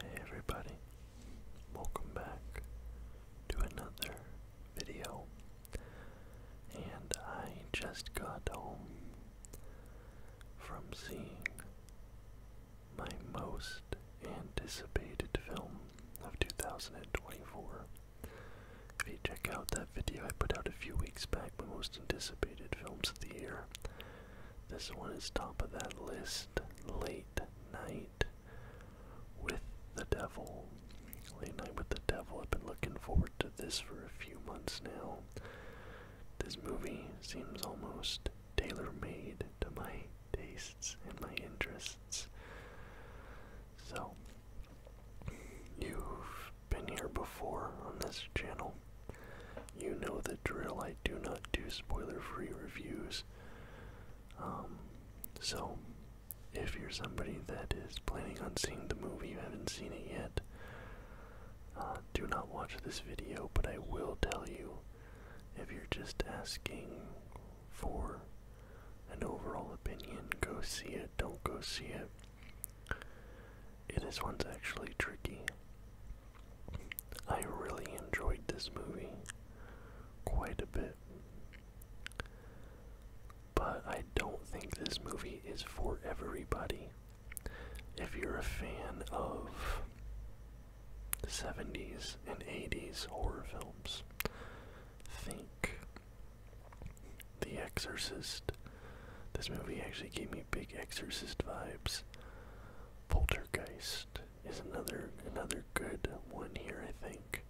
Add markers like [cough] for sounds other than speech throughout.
Hey everybody, welcome back to another video. And I just got home from seeing my most anticipated film of 2024. If you check out that video I put out a few weeks back, my most anticipated films of the year, this one is top of that list. Late Night with the Devil. Late Night with the Devil. I've been looking forward to this for a few months now. This movie seems almost tailor made to my tastes and my interests. So, you've been here before on this channel. You know the drill. I do not do spoiler-free reviews. Um, so, if you're somebody that is planning on seeing the movie, you haven't seen it yet, uh, do not watch this video. But I will tell you, if you're just asking for an overall opinion, go see it. Don't go see it. This one's actually tricky. I really enjoyed this movie quite a bit. But I don't think this movie is for everybody. If you're a fan of 70s and 80s horror films, think The Exorcist. This movie actually gave me big Exorcist vibes. Poltergeist is another another good one here, I think.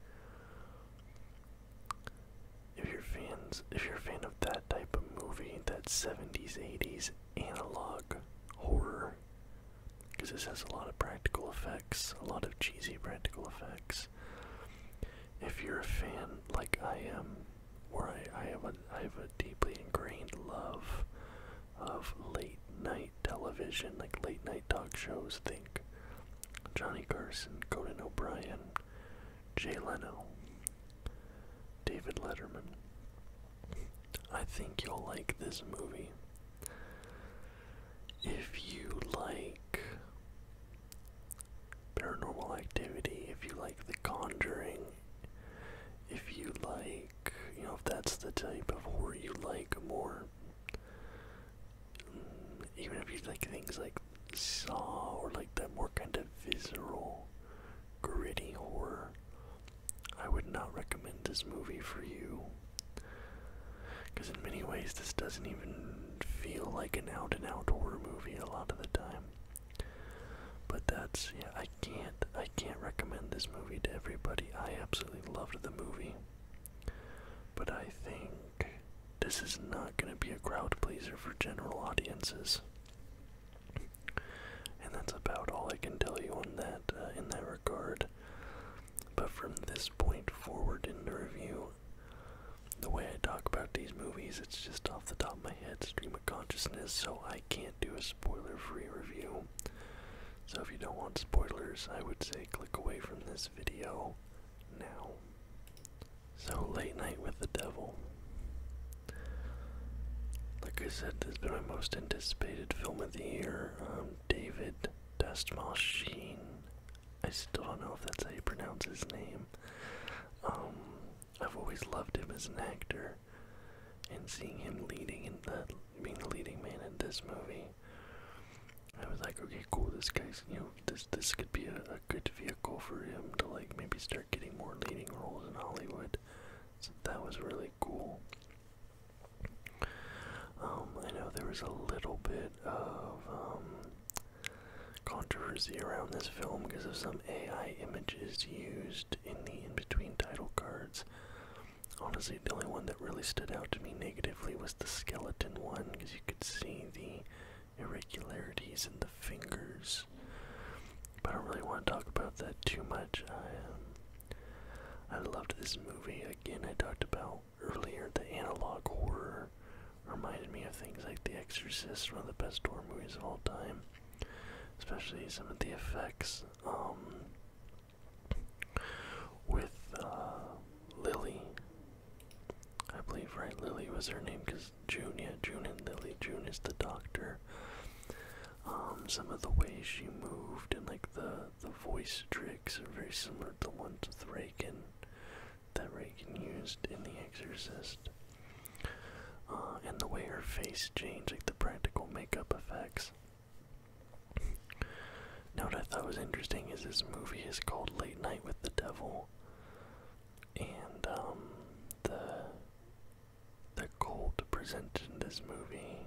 If you're fans, if you're a fan of that type of movie, that 70s, 80s analog horror, because this has a lot of practical effects, a lot of cheesy practical effects. If you're a fan like I am where I, I have a I have a deeply ingrained love of late night television, like late night talk shows. Think Johnny Carson, Conan O'Brien, Jay Leno, David Letterman. I think you'll like this movie. If you like paranormal activity, if you like The Conjuring, if you like, you know, if that's the type of horror you like more. Mm, even if you like things like Saw or like that more kind of visceral, gritty horror, I would not recommend this movie for you. Because in many ways, this doesn't even feel like an out and out horror movie a lot of the time. But that's yeah, I can't I can't recommend this movie to everybody. I absolutely loved the movie. But I think this is not gonna be a crowd pleaser for general audiences. And that's about all I can tell you on that uh, in that regard. But from this point forward in the review, the way I talk about these movies, it's just off the top of my head, consciousness, so I can't do a spoiler free review. So if you don't want spoilers, I would say click away from this video now. So, Late Night with the Devil. Like I said, this has been my most anticipated film of the year. Um, David Dastmalchine. I still don't know if that's how you pronounce his name. Um, I've always loved him as an actor, and seeing him leading in the being the leading man in this movie, I was like, okay, cool. This guy's, you know, this this could be a, a good vehicle for him to like maybe start getting more leading roles in Hollywood. So that was really cool. Um, I know there was a little bit of um, controversy around this film because of some AI images used in the in between title cards. Honestly, the only one that really stood out to me negatively was the skeleton one because you could see the irregularities in the fingers. But I don't really want to talk about that too much. Um, I loved this movie. Again, I talked about earlier the analog horror reminded me of things like The Exorcist, one of the best horror movies of all time especially some of the effects um, with uh, Lily. I believe, right? Lily was her name because June, yeah, June and Lily. June is the doctor. Um, some of the ways she moved and like the the voice tricks are very similar to the ones with Reagan that Reagan used in The Exorcist. Uh, and the way her face changed, like the practical makeup effects. Now, what I thought was interesting is this movie is called Late Night with the Devil, and um, the the cult presented in this movie,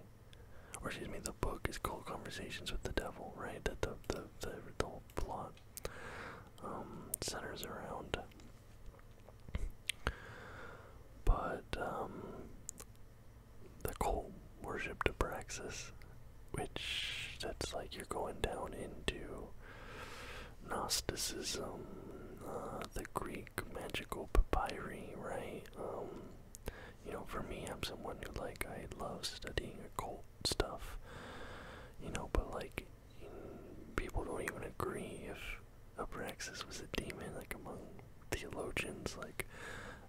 or excuse me, the book is called Conversations with the Devil, right? That the the the, whole plot um, centers around but um, the cult worshipped Abraxas, which that's like you're going down into Gnosticism, uh, the Greek magical papyri, right? Um, you know, for me, I'm someone who like I love studying occult stuff. You know, but like people don't even agree if Abraxas was a demon, like among theologians, like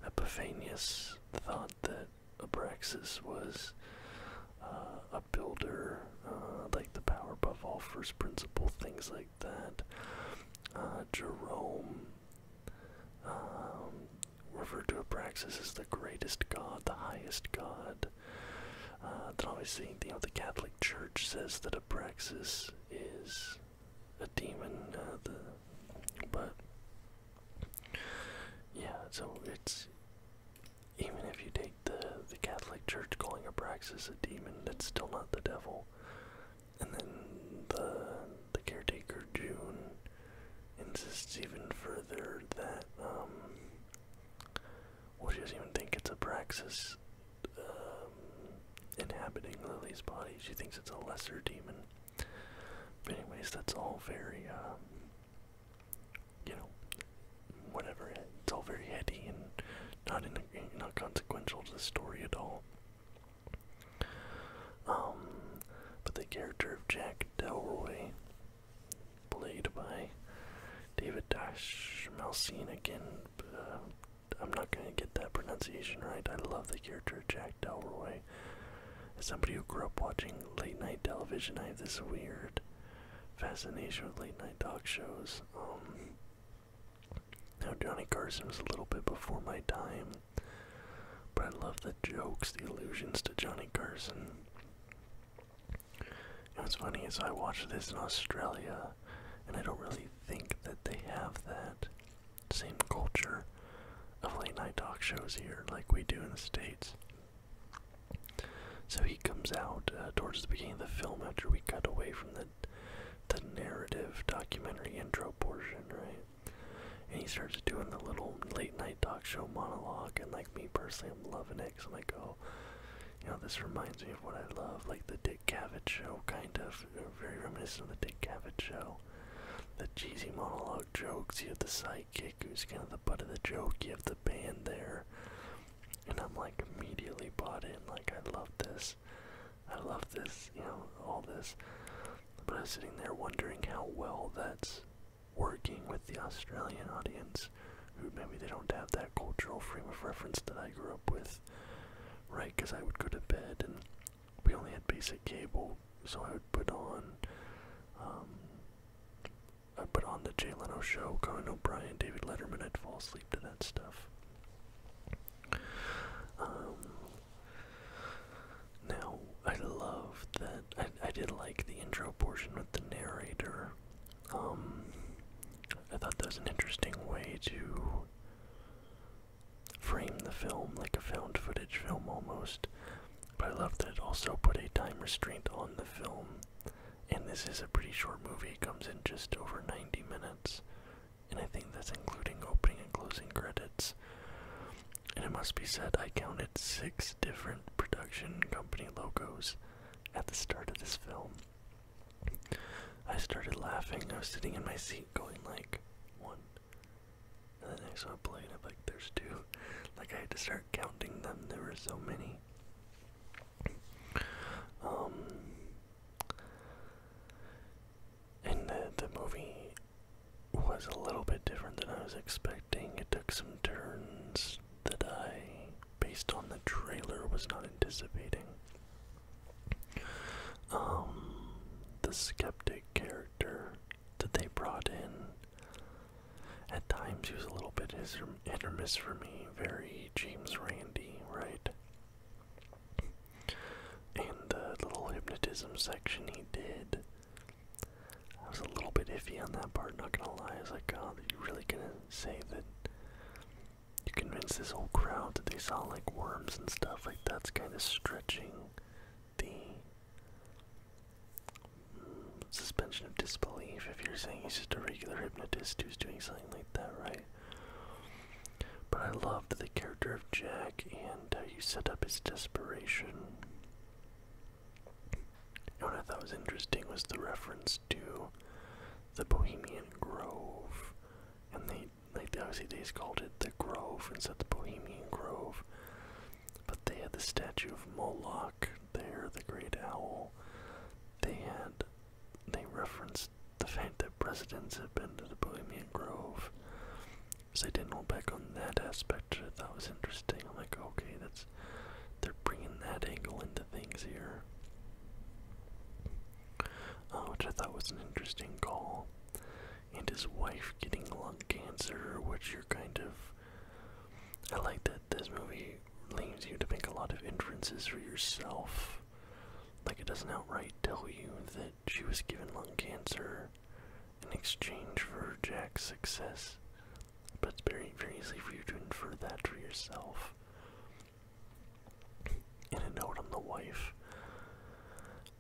Epiphanius thought that Abraxas was uh, a builder, uh, like the power above all first principle, things like that. Uh, Jerome um, referred to Abraxas as the greatest god, the highest god that. Uh, then you know, the Catholic Church says that a Abraxas is a demon. Uh, but yeah, so it's even if you take the the Catholic Church calling a Abraxas a demon, that's still not the devil. And then the the caretaker June insists even further that um, well, she doesn't even think it's a Praxis um, inhabiting Lily's body. She thinks it's a lesser demon. But anyways, that's all very, um, you know, whatever. It's all very heady and not in a, not consequential to the story at all. Um, but the character of Jack Delroy played by David Dash Malcine again. Uh, I'm not gonna get that pronunciation right. I love the character Jack Delroy. As somebody who grew up watching late night television, I have this weird fascination with late night talk shows. Um, now Johnny Carson was a little bit before my time, but I love the jokes, the allusions to Johnny Carson. And what's funny is I watched this in Australia, and I don't really think that they have that same culture of late night talk shows here like we do in the States. So he comes out uh, towards the beginning of the film after we cut away from the the narrative documentary intro portion, right? And he starts doing the little late night talk show monologue and like like me personally, I'm loving it because I'm like, oh, you know, this reminds me of what I love, like the Dick Cavett show, kind of, very reminiscent of the Dick Cavett show. The cheesy monologue jokes, you have the sidekick who's kind of the butt of the joke, you have the band there. And I'm like immediately bought in, like I love this, I love this, you know, all this. But I was sitting there wondering how well that's working with the Australian audience who maybe they don't have that cultural frame of reference that I grew up with, right? Because I would go to bed and we only had basic cable, so I would put on, um, I put on the Jay Leno show, Conan O'Brien, David Letterman, I'd fall asleep to that stuff. Um, now, I love that, I, I did like the intro portion with the narrator, um, I thought that was an interesting way to frame the film, like a found footage film almost. But I love that it also put a time restraint on the film. And this is a pretty short movie, it comes in just over 90 minutes. And I think that's including opening and closing credits. And it must be said, I counted six different production company logos at the start of this film. I started laughing. I was sitting in my seat going like one. And then I saw a plane, I'm like, there's two. [laughs] Like I had to start counting them. There were so many. Um and the movie was a little bit different than I was expecting. It took some turns that I, based on the trailer, was not anticipating. Um, the skeptic character that they brought in. At times, he was a little bit his hit miss for me. Very James Randy, right? And the little hypnotism section he did I was a little bit iffy on that part, not gonna lie. I was like, oh, are you really gonna say that you convince this whole crowd that they saw like worms and stuff? Like, that's kind of stretching the suspension of disbelief if you're saying he's just a regular hypnotist who's doing something like that, right? But I loved the character of Jack and how you set up his desperation. And what I thought was interesting was the reference to the Bohemian Grove, and they like they obviously they called it the Grove instead of the Bohemian Grove, but they had the statue of Moloch there, the great owl. They had they referenced the fact that presidents have been to the Bohemian Grove, so they didn't hold back on that aspect. Which I thought was interesting. I'm like, okay, that's they're bringing that angle into things here, uh, which I thought was an interesting call. And his wife getting lung cancer, which you're kind of. I like that this movie leaves you to make a lot of inferences for yourself. Like, it doesn't outright tell you that she was given lung cancer, in exchange for Jack's success, but it's very, very easy for you to infer that for yourself. In a note on the wife,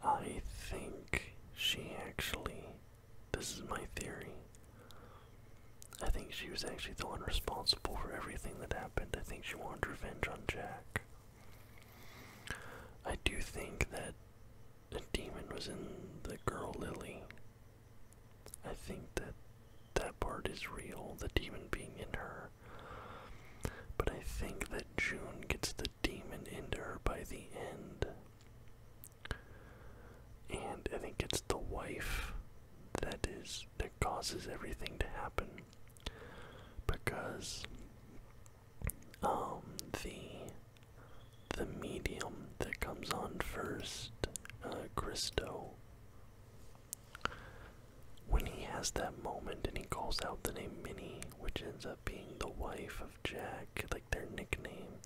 I think she actually, this is my theory, I think she was actually the one responsible for everything that happened. I think she wanted revenge on Jack. I do think that a demon was in the girl Lily I think that that part is real, the demon being in her. But I think that June gets the demon into her by the end. And I think it's the wife that is that causes everything to happen. Because um the the medium that comes on first, uh, Christo. When he has that moment and he calls out the name Minnie, which ends up being the wife of Jack, like their nickname,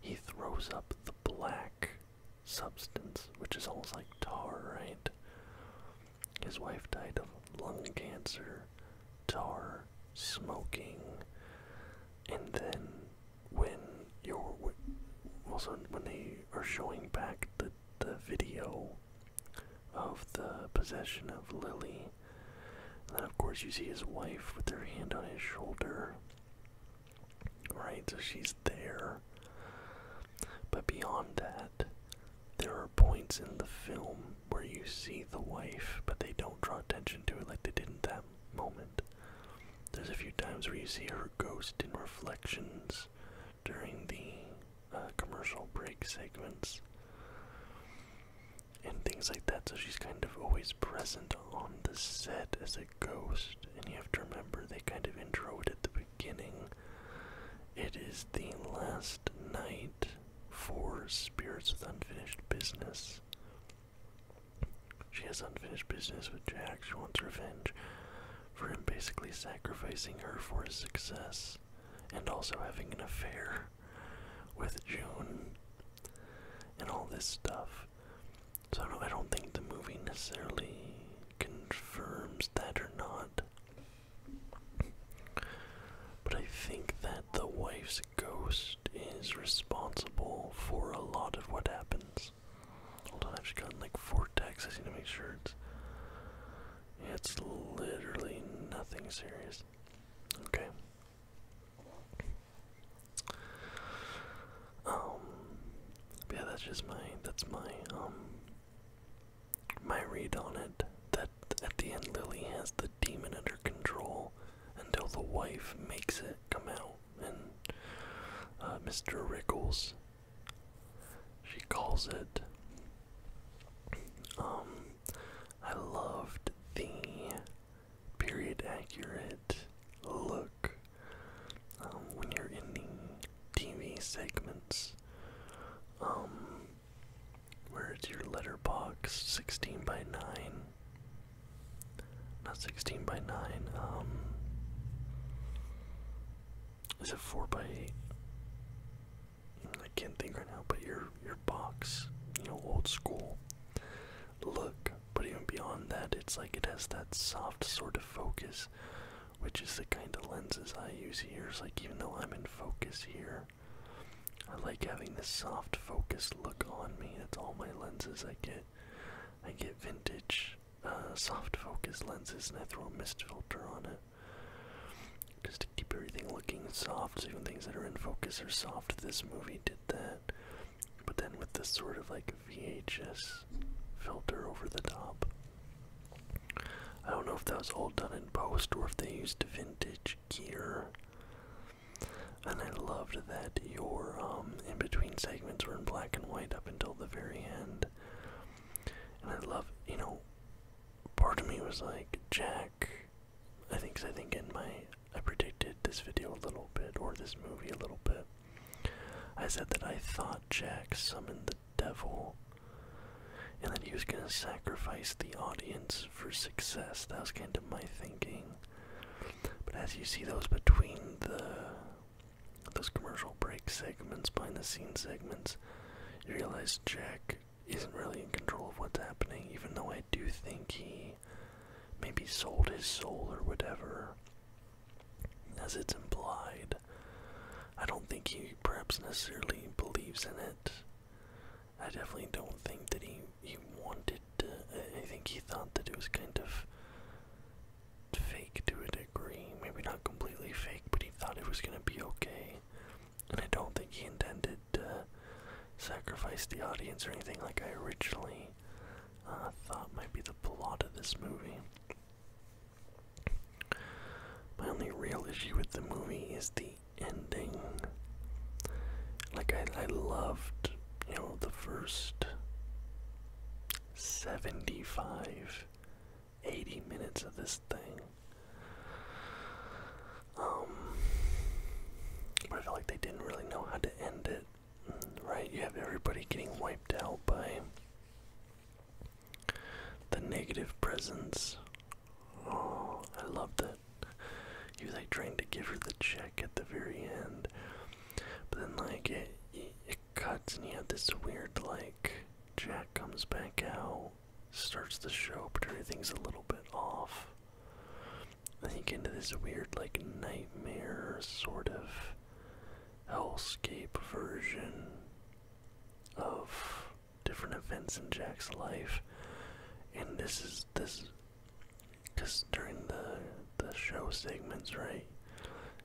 he throws up the black substance, which is almost like tar, right? His wife died of lung cancer. Tar smoking, and then when you're also when they are showing back the the video of the possession of Lily, and then of course you see his wife with her hand on his shoulder. Right, so she's there. But beyond that, there are points in the film where you see the wife, but they don't draw attention to it like they did in that moment. There's a few times where you see her ghost in reflections during the uh, commercial break segments and things like that. So she's kind of always present on the set as a ghost. And you have to remember they kind of intro it at the beginning. It is the last night for Spirits with Unfinished Business. She has unfinished business with Jack. She wants revenge for him basically sacrificing her for his success and also having an affair with June and all this stuff. So I don't, think the movie necessarily confirms that or not. But I think that the wife's ghost is responsible for a lot of what happens. Hold on, I've just gotten like four texts. I need to make sure it's. it's literally nothing serious. Okay. Um. Yeah, that's just my. That's my um. My read on it. That at, the end, Lily has the demon under control until the wife makes it come out. And uh, Mr. Rickles, she calls it. Um, I loved the period accurate look um, when you're in the TV segments. Um, where is your letterbox? 16 by 9. Not 16 by 9. Um, is it 4 by 8? I can't think right now, but your your box, you know, old school look. But even beyond that, it's like it has that soft sort of focus, which is the kind of lenses I use here. like even though I'm in focus here, I like having this soft focus look on me. That's all my lenses I get. I get vintage uh, soft focus lenses and I throw a mist filter on it. Just to keep everything looking soft, so even things that are in focus are soft. This movie did that. But then with this sort of like VHS filter over the top. I don't know if that was all done in post or if they used vintage gear and I loved that your um, in between segments were in black and white up until the very end. And I love, you know, part of me was like, Jack, I think, I think in my, I predicted this video a little bit, or this movie a little bit. I said that I thought Jack summoned the devil and that he was going to sacrifice the audience for success. That was kind of my thinking. But as you see, those between the those commercial break segments, behind the scenes segments, you realize Jack isn't really in control of what's happening, even though I do think he maybe sold his soul or whatever, as it's implied. I don't think he perhaps necessarily believes in it. I definitely don't think that he he wanted to. I think he thought that it was kind of fake to a degree. Maybe not completely fake, but he thought it was gonna be okay. And I don't think he intended to sacrifice the audience or anything like I originally uh, thought might be the plot of this movie. My only real issue with the movie is the ending. Like I, I loved, you know, the first 75, 80 minutes of this thing. Um, but I feel like they didn't really know how to end it, right? You have everybody getting wiped out by the negative presence Oh, I loved it. He was like trying to give her the check at the very end, but then like it, cuts and you have this weird like Jack comes back out, starts the show, but everything's a little bit off. I think into this weird like nightmare sort of hellscape version of different events in Jack's life, and this is this, because during the the show segments, right?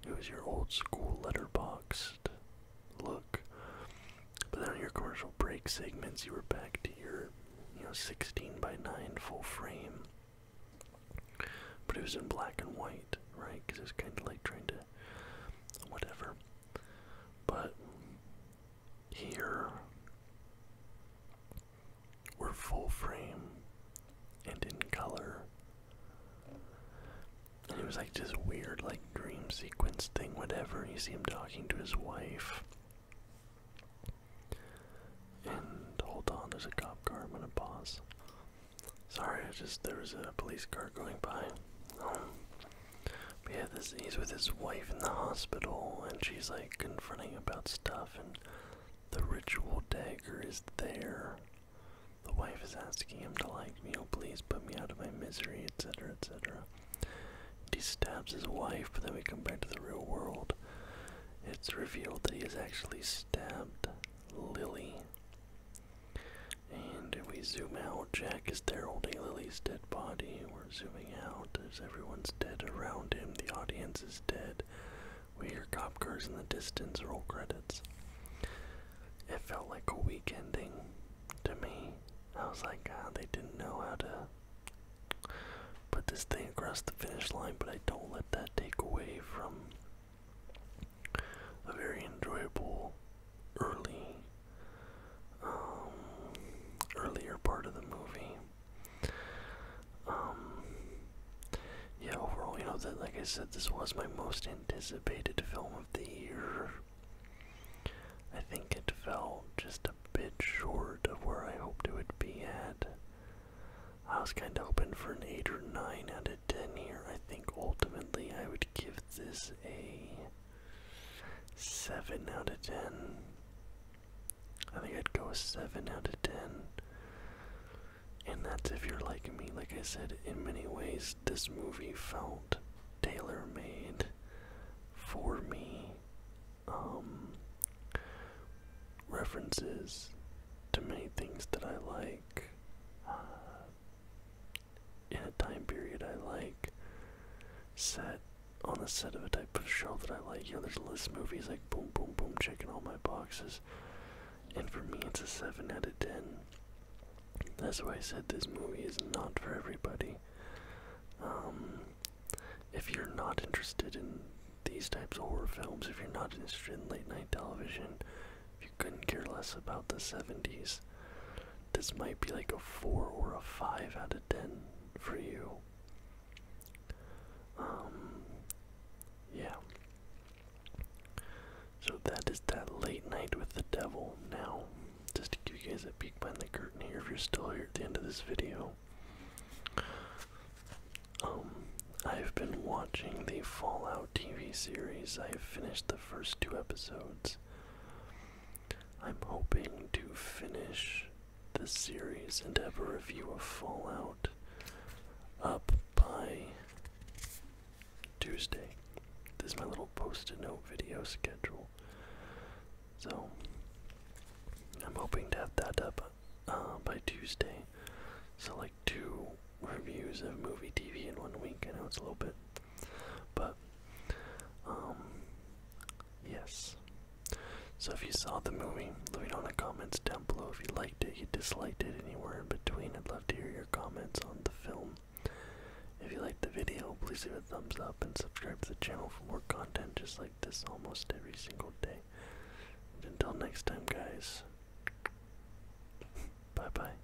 It was your old school letterboxed look, but then on your commercial break segments, you were back to your, you know, 16 by 9 full frame. But it was in black and white, right? Because it kind of like trying to, whatever. But here, we're full frame and in color. And it was like just weird, like, dream sequence thing, whatever. You see him talking to his wife. And hold on, there's a cop car. I'm gonna pause. Sorry, I just there was a police car going by. Um, but yeah, this, he's with his wife in the hospital, and she's like confronting about stuff, and the ritual dagger is there. The wife is asking him to like, you oh, know, please put me out of my misery, etc., etc. He stabs his wife, but then we come back to the real world. It's revealed that he has actually stabbed Lily. And we zoom out. Jack is there holding Lily's dead body. We're zooming out as everyone's dead around him. The audience is dead. We hear cop cars in the distance. Roll credits. It felt like a weak ending to me. I was like, God, ah, they didn't know how to put this thing across the finish line, but I don't let that take away from a very enjoyable early um, earlier part of the movie. Um, yeah, overall, you know that, like I said, this was my most anticipated film of the year. I think it fell just a bit short of where I hoped it would be at. I was kind of hoping for an 8 or 9 out of 10 here. I think ultimately I would give this a 7 out of 10. I think I'd go a 7 out of 10. And that's if you're like me. Like I said, in many ways, this movie felt tailor made for me. Um, references to many things that I like. Uh, in a time period I like, set on the set of a type of show that I like. You know, there's a list of movies like boom, boom, boom, checking all my boxes. And for me, it's a 7 out of 10. That's why I said this movie is not for everybody. Um, if you're not interested in these types of horror films, if you're not interested in late night television, if you couldn't care less about the 70s, this might be like a 4 or a 5 out of 10 for you. Um, yeah. So that is that late night with the devil. Now, just to give you guys a peek behind the curtain here, if you're still here at the end of this video, um, I've been watching the Fallout TV series. I have finished the first two episodes. I'm hoping to finish the series and have a review of Fallout up by Tuesday. This is my little post-it note video schedule. So I'm hoping to have that up uh, by Tuesday. So like two reviews of movie TV in one week. I know it's a little bit but, um, yes. So if you saw the movie, let me know in the comments down below if you liked it, you disliked it, anywhere in between. I'd love to hear your comments on the film. If you liked the video, please leave a thumbs up and subscribe to the channel for more content just like this almost every single day. until next time, guys, [laughs] bye bye.